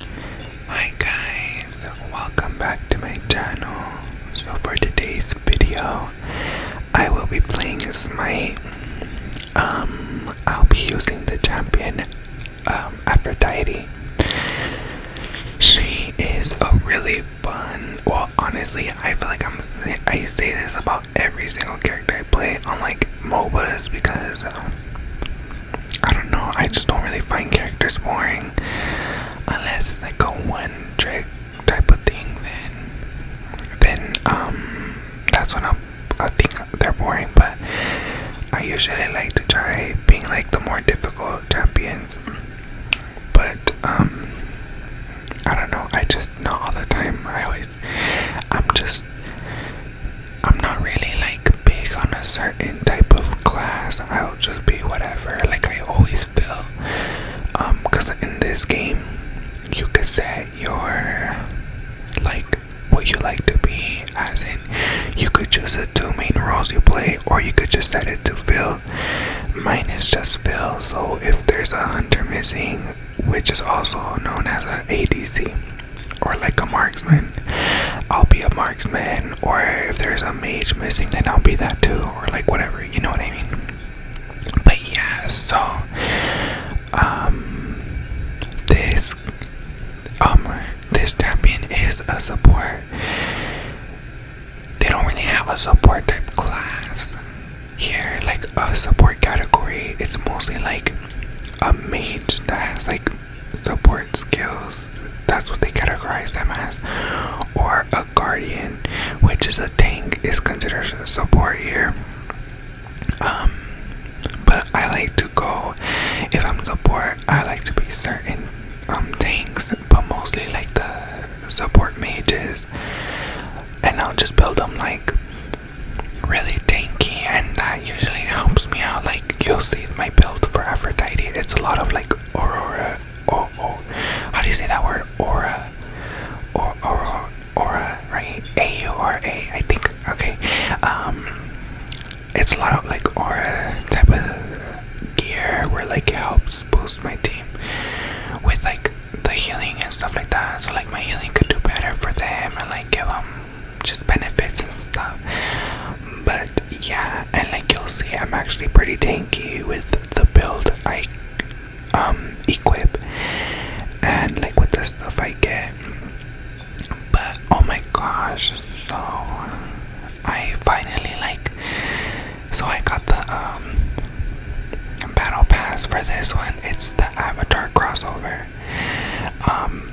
Hi guys, welcome back to my channel. So for today's video, I will be playing as my Um, I'll be using the champion, um, Aphrodite. She is a really fun. Well, honestly, I feel like I'm. I say this about every single character I play on like MOBAs because. Um, I don't know. I just don't really find characters boring, unless it's like a one trick type of thing. Then, then um, that's when I I think they're boring. But I usually like to try being like the more difficult champions. But um, I don't know. I just not all the time. I always I'm just I'm not really like big on a certain type of class. I'll just be whatever, like I always feel. Um, cause in this game, you could set your like what you like to be, as in you could choose the two main roles you play, or you could just set it to fill. Mine is just fill, so if there's a hunter missing, which is also known as an ADC or like a marksman, I'll be a marksman, or if there's a mage missing, then I'll be that too, or like whatever, you know what I mean? But yeah, so, um, this, um, this champion is a support. They don't really have a support type class here, like a support category. It's mostly like a mage that has like support skills, that's what they categorize them as, or a guardian, which is a tank, is considered support here. Um, but I like to go, if I'm support, I like to be certain um, tanks, but mostly like the support mages, and I'll just build them like really tanky, and that usually helps me out. Like, you'll see my build for Aphrodite. It's a lot of like aurora, oh, how do you say that word? Aura, or aura, aura, right? A U R A, I think. Okay, um, it's a lot of like aura type of gear where like it helps boost my team with like the healing and stuff like that. So like my healing could do better for them and like give them just benefits and stuff. But yeah, and like you'll see, I'm actually pretty tanky with the build I um equip and like with the stuff I get. But oh my gosh, so I finally like so I got the um battle pass for this one. It's the Avatar crossover. Um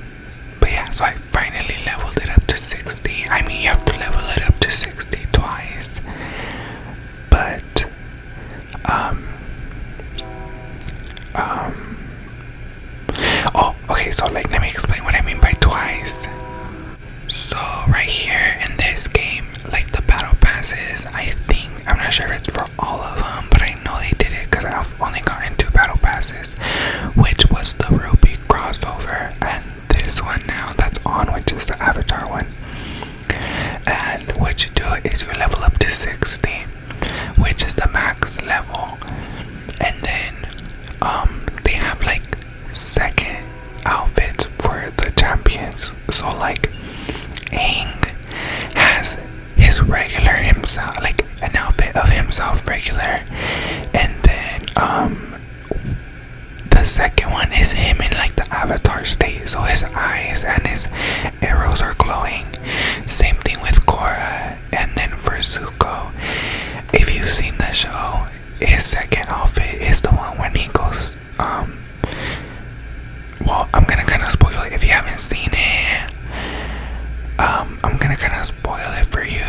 but yeah, so I finally leveled it up to 60. I mean, you have to level it up to 60 twice. But, um, um, oh, okay, so like, let me explain what I mean by twice. So, right here in this game, like the battle passes, I think, I'm not sure if it's for all of them, but I know they did it because I only gotten two battle passes, which was the Ruby crossover and this one now that's on, which is the Avatar one. And what you do is you level up to 60, which is the max level, and then um they have like second outfits for the champions. So like Aang has his regular himself, like an outfit of himself regular, and then um the second one is him in like the avatar state, so his eyes and his arrows are glowing. Same thing with Korra, and then for Zuko, if you've seen the show, his second outfit is the one when he goes um. Well, I'm gonna kind of spoil it if you haven't seen it. Um, um, I'm gonna kind of spoil it for you,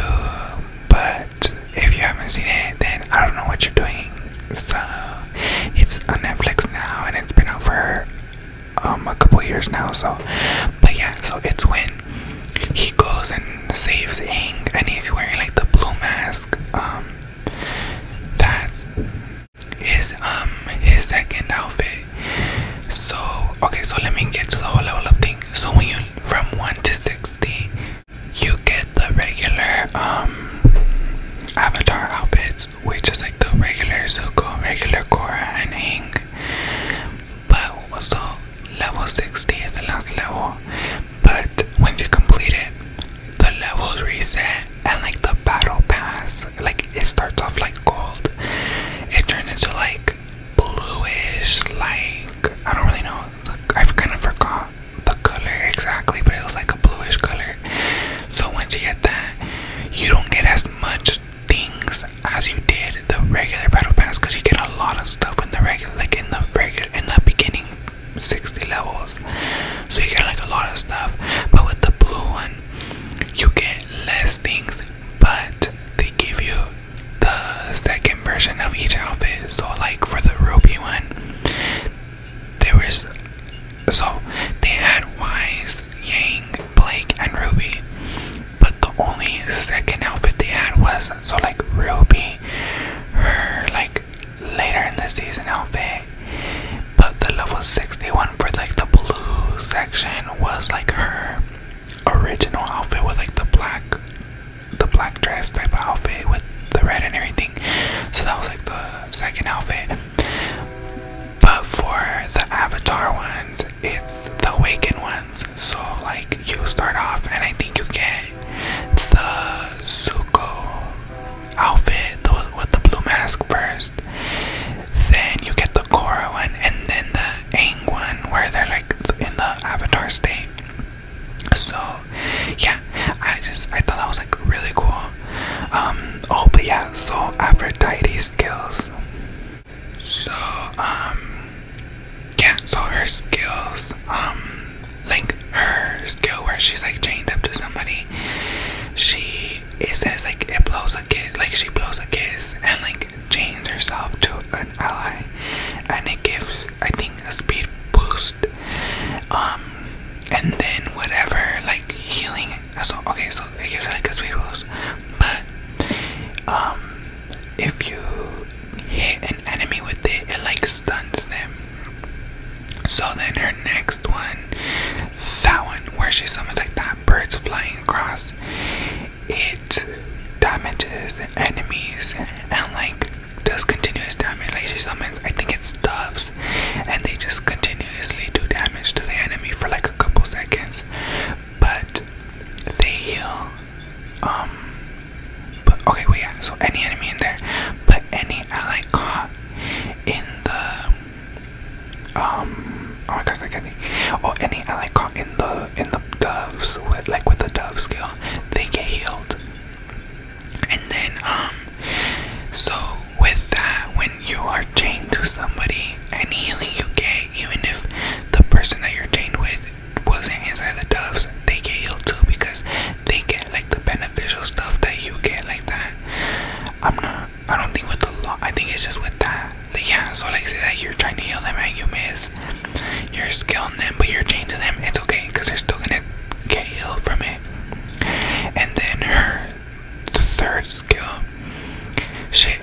but if you haven't seen it, then I don't know what you're doing. So it's on Netflix now, and it's been out for um, a couple years now. So, but yeah, so it's when he goes and saves Ink, and he's wearing like the blue mask. Um, that is um his second outfit so okay, so let me get to the whole level of thing. So when you from one to sixty, you get the regular um avatar outfits, which is like the regular Zuko, regular Korra, and Aang. But also level sixty is the last level. But when you complete it, the levels reset and like the battle pass, like it starts off like gold, it turns into like bluish, like I don't really know. Look, I've kind of forgot the color exactly, but it was like a bluish color. So once you get that, you don't get as much things as you did the regular battle pass because you get a lot of stuff in the regular, like in the regular in the beginning 60 levels. So you get like a lot of stuff, but with the blue one, you get less things but they give you the second version of each outfit. So, like for the ruby one, there was so they had Wise, Yang, Blake, and Ruby, but the only second outfit they had was so like Ruby, her like later in the season outfit. But the level 61 for like the blue section was like her original outfit with like the black the black dress type of outfit with the red and everything. So that was like the second outfit. But for the Avatar ones, it's the Waken ones. So like you start off and I think you get the Zuko outfit with the blue mask first. Then you get the Korra one and then the Aang where they're like in the Avatar state. So yeah, I just I thought that was like really cool. Um, oh but yeah, so Aphrodite's skills. So um yeah, so her skills, um like her skill where she's like chained up to somebody, she it says like it blows a kiss like she blows a kiss and like chains herself to an ally and it gives I think a speed boost um and then whatever like healing so okay so it gives like a speed boost but um if you hit an enemy with it it like stuns them so then her next one that one where she summons like that birds flying across it damages the enemies and like does continuous damage. Like she summons, I think it doves, and they just continuously do damage to the enemy for like a couple seconds. But they heal. Um. But okay, wait, yeah. So any enemy in there, but any ally caught in the um oh any or any ally caught in the in the doves with like with the dove skill, they get healed. And then um so with that when you are chained to somebody, any healing you get, even if the person that you're chained with wasn't inside the doves, they get healed too because they get like the beneficial stuff that you get like that. I'm not I don't think with the law. I think it's just with that. yeah, so like say that you're trying to heal them and you miss. You're scaling them, but you're changing them. It's okay because they're still gonna get healed from it. And then her third skill, she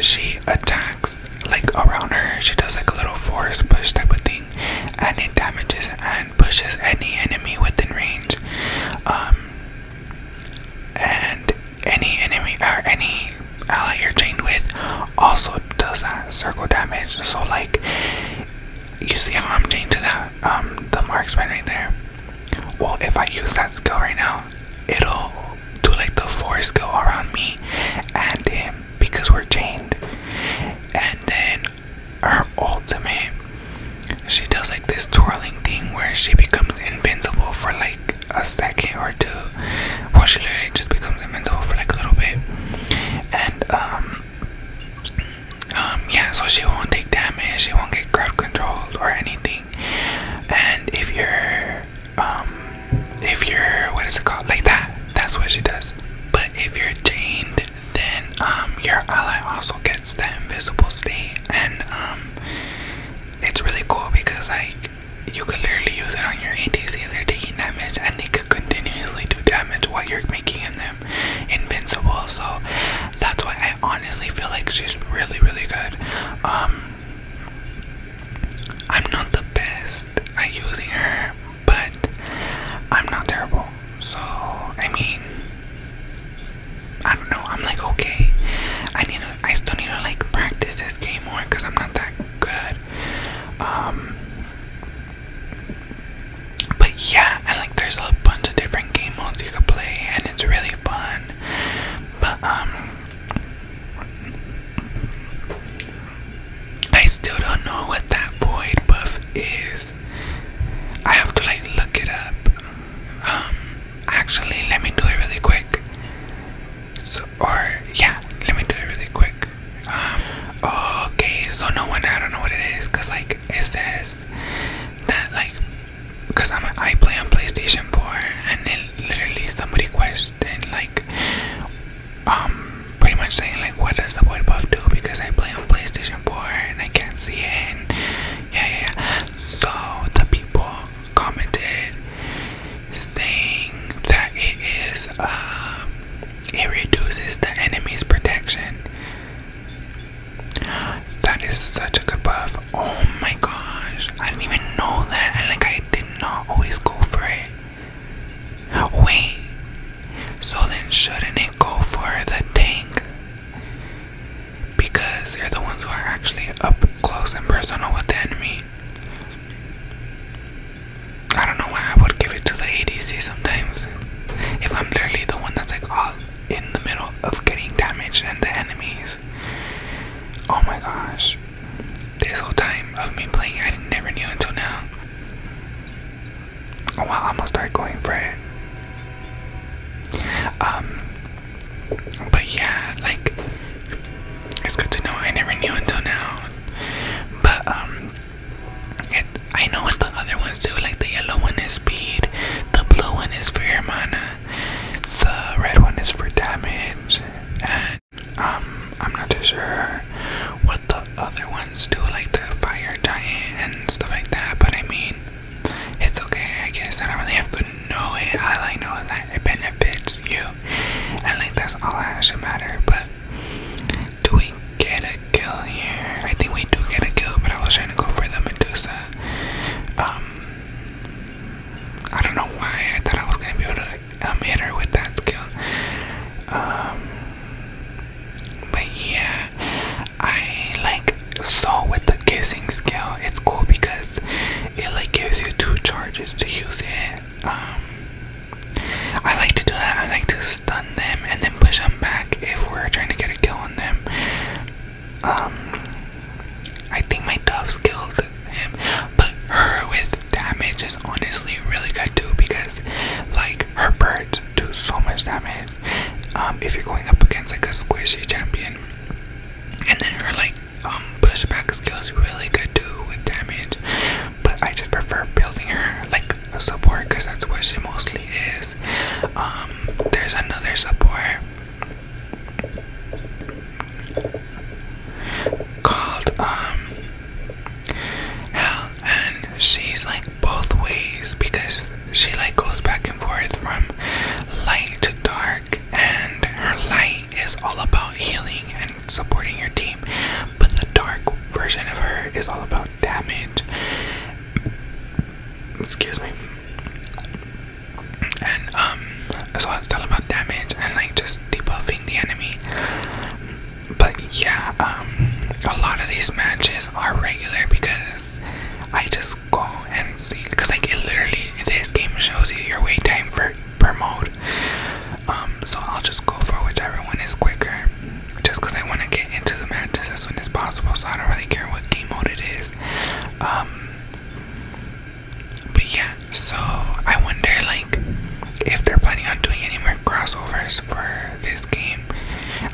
she attacks like around her. She does like a little force push type of thing, and it damages and pushes any enemy within range. Um, and any enemy or any ally you're chained with also does that circle damage. So like you see how I'm chained to that um the marksman right there. Well if I use that skill right now, it'll do like the force go around me and him because we're chained. And then her ultimate she does like this twirling thing where she becomes invincible for like a second or two where she literally just becomes invincible for like a little bit. And um um yeah, so she won't take damage, she won't get crowd controlled or anything. And if you're um if you're what is it called? Like that, that's what she does. But if you're chained then um your ally also gets the invisible state and um it's really cool because like you could literally use it on your ATC if they're taking damage and they could continuously do damage while you're making them invincible. So that's why I honestly feel like she's really, really good. Um, I'm not the best at using her, but I'm not terrible. So, I mean, I don't know. I'm like okay. I need to. I still need to like practice this game more because I'm not that good. Um. But yeah, I like there's a bunch of different game modes you could play, and it's really fun. But um, I still don't know what that void buff is. I have to like look it up. Um, Actually, let me do it really quick. So, or yeah, let me do it really quick. Um, okay, so no wonder I don't know what it is, cause like it says that like, cause I'm I play on PlayStation 4, and then literally somebody questioned like, um, pretty much saying like, what does the boy buff do? Because I play on PlayStation 4 and I can't see it. And yeah, yeah. yeah. So the people commented saying that it is um it reduces the enemy's protection. That is such a good buff. Oh my gosh. I didn't even know that and like I did not always go for it. Wait. So then shouldn't it go for the tank? because they're the ones who are actually up close and personal with the enemy. I don't know why I would give it to the ADC sometimes. If I'm literally the one that's like all in the middle of getting damage and the enemies. Oh my gosh. This whole time of me playing, I never knew until now. Oh, well, I'm gonna start going for it. Um, but yeah, like it's good to know. I never knew until now. But um, it, I know what the other ones do. Like the yellow one is speed, the blue one is for your mana, the red one is for damage, and um, I'm not too sure what the other ones do, like the fire giant and stuff like that. But I mean, it's okay, I guess. I don't really have to know it. I like knowing that it benefits you. I like that's all that should matter. But do we get a kill here? I think we do get a kill, but I was trying to go for the Medusa. Um I don't know why I thought I was gonna be able to um, hit her with that skill. Um but yeah, I like so with the kissing skill, it's cool because it like gives you two charges to use it um, i like to do that i like to stun them and then push them back if we're trying to get a kill on them um, i think my doves killed him but her with damage is honestly really good too because like her birds do so much damage um, if you're going up against like a squishy champion and then her like um, pushback skills really good too with damage, but I just prefer building her like a support because that's what she mostly is. Um, there's another support called um Hell, and she's like both ways because she like goes back and forth from light to dark and her light is all about healing and supporting your team, but the dark version of her is all about damage. Excuse me. And um, so it's all about damage and like just debuffing the enemy. But yeah, um, a lot of these matches are regular because I just go and see because like it literally this game shows you your wait time for per mode um so i'll just go for whichever one is quicker just because i want to get into the matches as soon as possible so i don't really care what game mode it is um but yeah so i wonder like if they're planning on doing any more crossovers for this game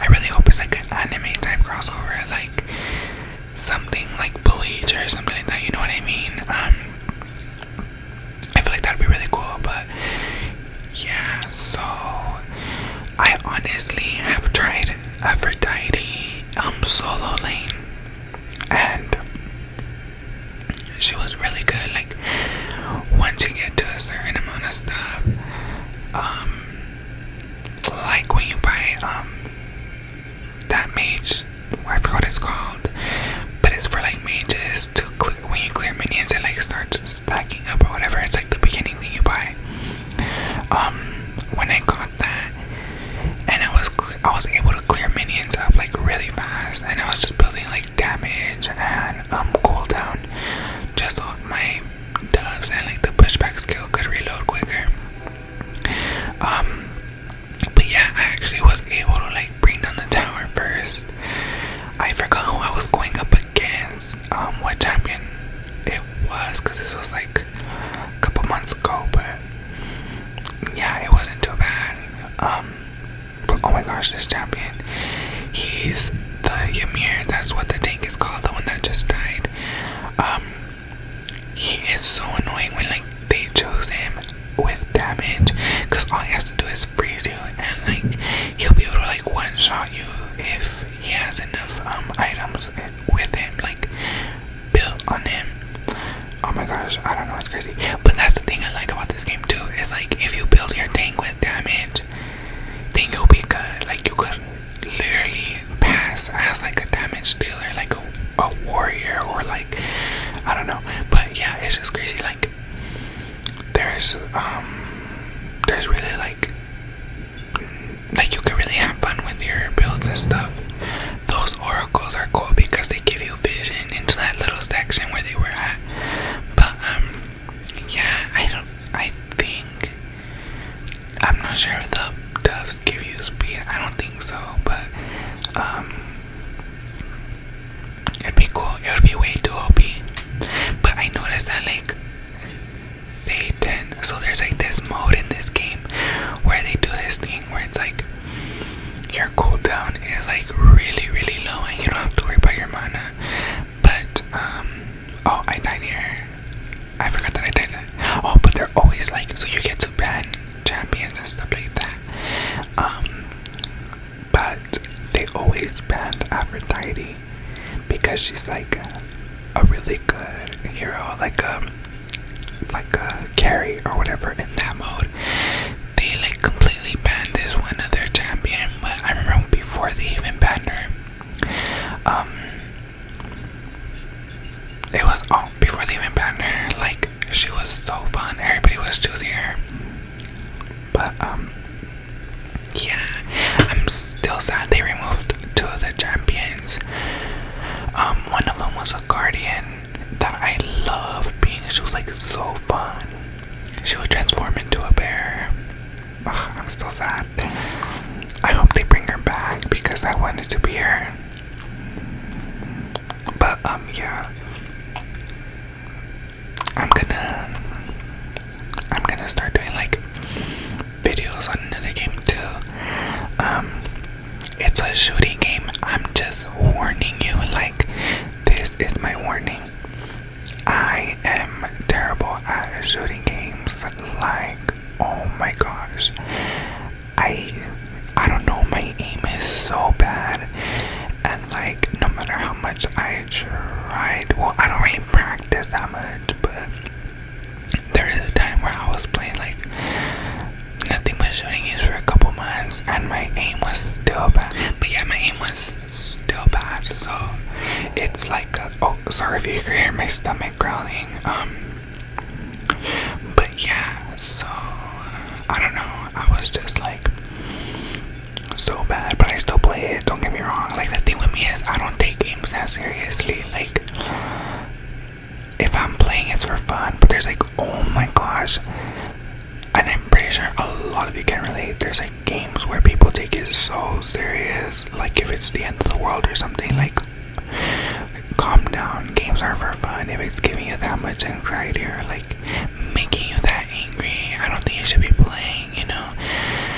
i really hope it's like an anime type crossover like something like bleach or something like that, you know what I mean? Um, I feel like that'd be really cool, but yeah, so I honestly have tried Aphrodite um solo lane and she was really good. Like once you get to a certain amount of stuff, um like when you buy um that mage I forgot what it's called but it's for like mages to clear when you clear minions it like starts stacking up or whatever it's like the beginning thing you buy um when I got that and I was I was able to clear minions up like really fast and I was just building like damage and um cooldown just so my doves and like the pushback skill could reload quicker um, but yeah, I actually was able to like bring down the tower first. I forgot who I was going up against, um, what champion it was, because this was like a couple months ago, but yeah, it wasn't too bad. Um, but oh my gosh, this champion, he's the Yamir. that's what the tank is called, the one that just died. Um, he is so annoying when like they chose him with damage because all he has to do is freeze you and like he'll be able to like one shot you if he has enough um items with him like built on him. Oh my gosh, I don't know, it's crazy. But that's the thing I like about this game too, is like if you build your thing with damage, then you'll be good. Like you could literally pass as like a damage dealer, like a, a warrior, or like I don't know. But yeah, it's just crazy. Like there's um there's really like like you can really have fun with your builds and stuff. Those oracles are cool because they give you vision into that little section where they were at. But um yeah, I don't I think I'm not sure if the doves give you speed. I don't think so, but um, it'd be cool. It would be way too OP. But I noticed that like they did. So there's like this mode in this game where they do this thing where it's like your cooldown is like really really low and you don't have to worry about your mana. But um, oh, I died here. I forgot that I did that. Oh, but they're always like so you get to ban champions and stuff like that. Um, but they always banned Aphrodite because she's like a really good hero, like um, like a carry or whatever in that mode. They like completely banned this one of their champion, but I remember before they even banned her. Um, it was all oh, before they even banned her, like she was so fun. Everybody was choosing her. But um yeah, I'm still sad they removed two of the champions. Um, one of them was a guardian that I love being. She was like so fun. She would transform into a bear. I'm still sad. I hope they bring her back because I wanted to be her. But um yeah. I'm gonna I'm gonna start doing like videos on another game too. Um it's a shooting game. I'm just warning you like this is my warning. I am terrible at shooting games like oh my gosh i i don't know my aim is so bad and like no matter how much i tried well i don't really practice that much but there is a time where i was playing like nothing but shooting games for a couple months and my aim was still bad but yeah my aim was still bad so it's like oh sorry if you could hear my stomach growling um but yeah, so I don't know. I was just like so bad, but I still play it. Don't get me wrong. Like the thing with me is I don't take games that seriously. Like if I'm playing, it's for fun. But there's like, oh my gosh, and I'm pretty sure a lot of you can relate. There's like games where people take it so serious. Like if it's the end of the world or something. Like calm down. Games are for fun. If it's giving you that much anxiety or like making you that angry, I don't think you should be playing, you know?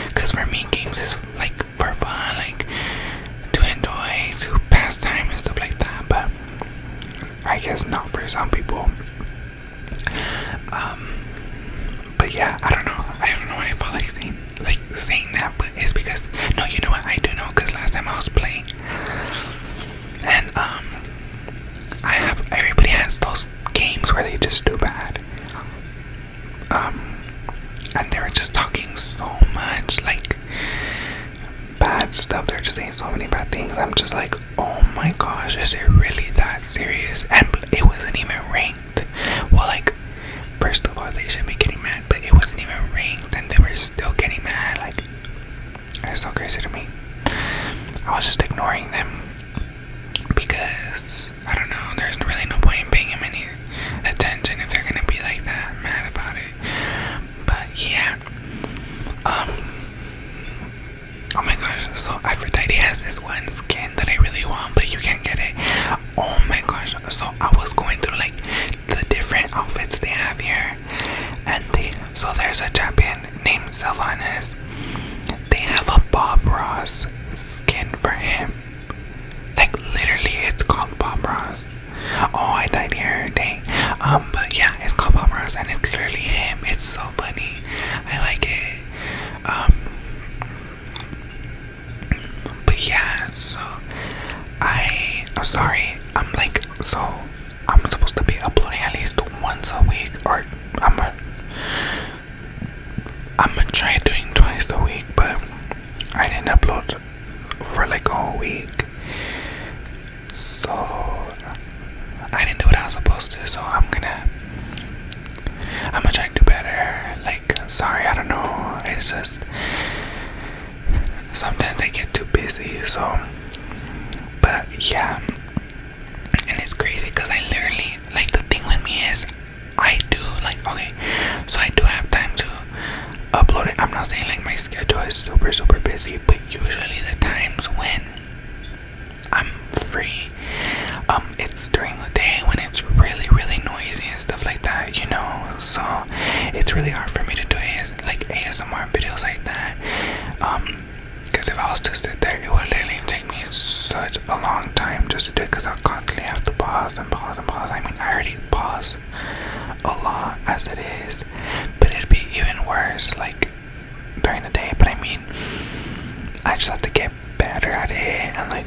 Because for me, games is like for fun, like to enjoy, to pass time and stuff like that, but I guess not for some people. Um, but yeah, I don't know. I don't know why I felt like saying like saying that, but it's because no, you know what? I do know because last time I was playing, and um, I have everybody has those games where they just do bad, um, and they were just talking so much like bad stuff. They're just saying so many bad things. I'm just like, oh my gosh, is it really that serious? And it wasn't even ring. Well, like, first of all, they should be getting mad, but it wasn't even ranked and they were still getting mad. Like, that's so crazy to me. I was just ignoring them because I don't know, there's really no point in paying them any attention if they're gonna be like that mad about it. But yeah, um, oh my gosh, so Aphrodite has this one skin that I really want, but you can't get it. Oh my gosh. So I was going through like the different outfits they have here. And they so there's a champion named Sylvanas. They have a Bob Ross skin for him. Like literally it's called Bob Ross. Oh I died here, dang. Um but yeah, it's called Bob Ross and it's literally him. It's so funny. I like it. Um but yeah, so I I'm sorry, I'm like so I'm supposed to be uploading at least once a week or I'm gonna, i I'm gonna try doing twice a week, but I didn't upload for like a whole week, so I didn't do what I was supposed to. So I'm gonna, I'm gonna try to do better. Like, sorry, I don't know. It's just Sometimes I get too busy, so. But yeah. And it's crazy because I literally, like, the thing with me is I do, like, okay, so I do have time to upload it. I'm not saying, like, my schedule is super, super busy, but usually the times when I'm free, um, it's during the day when it's really, really noisy and stuff like that, you know. So it's really hard for me to do like ASMR videos like that. Um, because if I was to sit there, it would literally take me such a long time just to do it. Because I constantly have to pause and pause and pause. I mean, I already pause a lot as it is, but it'd be even worse like during the day. But I mean, I just have to get better at it and like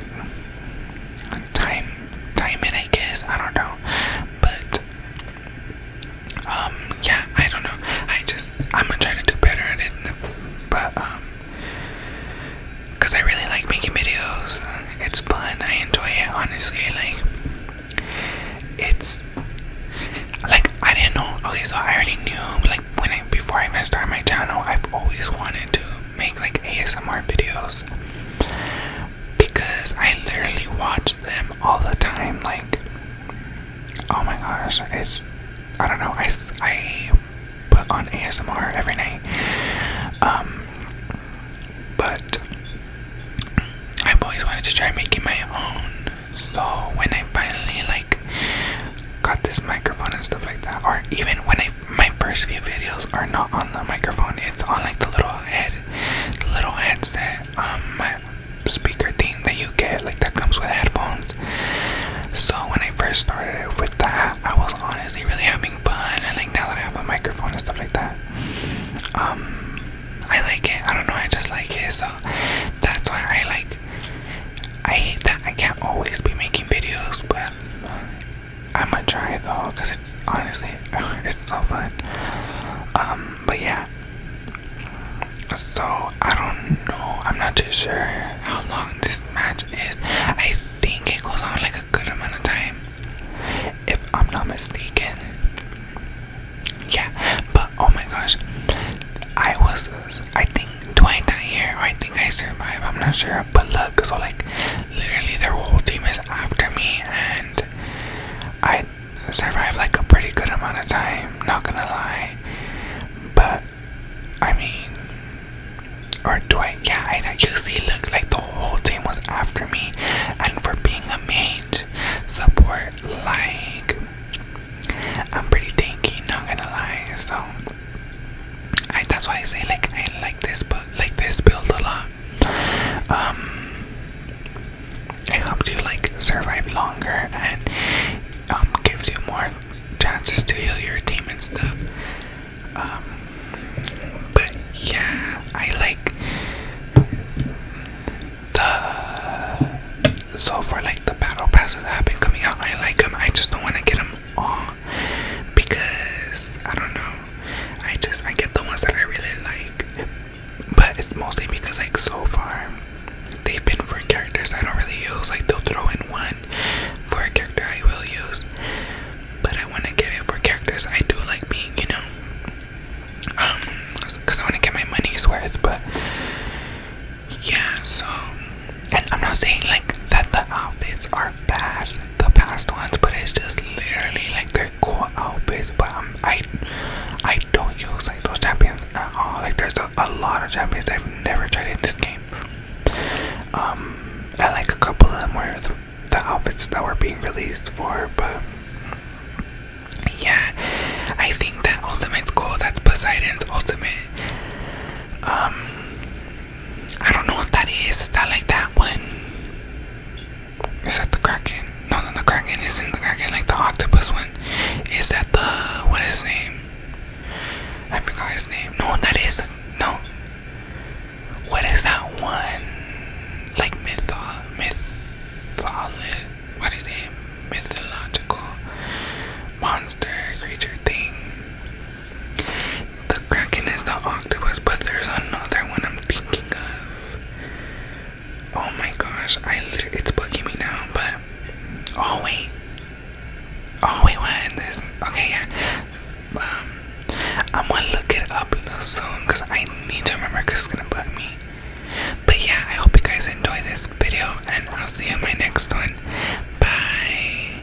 time time in I guess I don't know but um yeah I don't know I just I'm gonna try to do better at it but um because I really like making videos it's fun I enjoy it honestly like it's like I didn't know okay so I already knew like when I before I even started my channel I've always wanted to make like ASMR videos because I literally watch them all the time. Like, oh my gosh, it's I don't know. I, I put on ASMR every night. Um, but I've always wanted to try making my own. So when I finally like got this microphone and stuff like that, or even when I my first few videos are not on the microphone. It's on like the little head, the little headset, um, my speaker thing that you get, like that comes with headphones. So when I first started it with that, I was honestly really having fun, and like now that I have a microphone and stuff like that, um, I like it. I don't know, I just like it. So that's why I like. I hate that I can't always be making videos, but I'm gonna try it though, cause it's honestly, it's so fun. Um, but yeah. So I don't know. I'm not too sure how long this match is. I think it goes on like a good amount of time, if I'm not mistaken. Yeah, but oh my gosh, I was. I think do I die here or I think I survive? I'm not sure. But look, so like literally their whole team is after me and I survived like a pretty good amount of time, not gonna lie. But I mean or do I yeah, I you see look like the whole team was after me and for being a mage support like I'm pretty tanky, not gonna lie, so that's why I say like I like this, but like this build a lot. Um, it helps you like survive longer and um, gives you more chances to heal your team and stuff. Um, but yeah, I like the so for like the battle passes that have been coming out. I like them. I just don't want to get them all because I don't know. I just I get the ones that I really like, but it's mostly because like so far they've been for characters I don't really use. Like they'll throw in one for a character I will use, but I want to get it for characters I do like being, you know. Um, cause I want to get my money's worth, but yeah. So and I'm not saying like that the outfits are bad, the past ones, but it's just literally like they're cool outfits. But um, I, I don't use like those champions at all. Like there's a, a lot of champions I've never tried in this game. Um, I like a couple of them were the, the outfits that were being released for, but. Yeah, I think that ultimate's cool. That's Poseidon's ultimate. Um, I don't know what that is. Is that like that one? Is that the Kraken? No, no, the Kraken isn't the Kraken. Like the octopus one. Is that the what is his name? I forgot his name. No, that is no. What is that one? Like myth, myth, what is it? Mythological monster creature thing. The kraken is the octopus, but there's another one I'm thinking of. Oh my gosh, I it's bugging me now, but oh wait, oh wait, what is this? Okay, yeah. Um, I'm gonna look it up soon because I need to remember because it's gonna bug me. But yeah, I hope you guys enjoy this video, and I'll see you in my next one. Bye.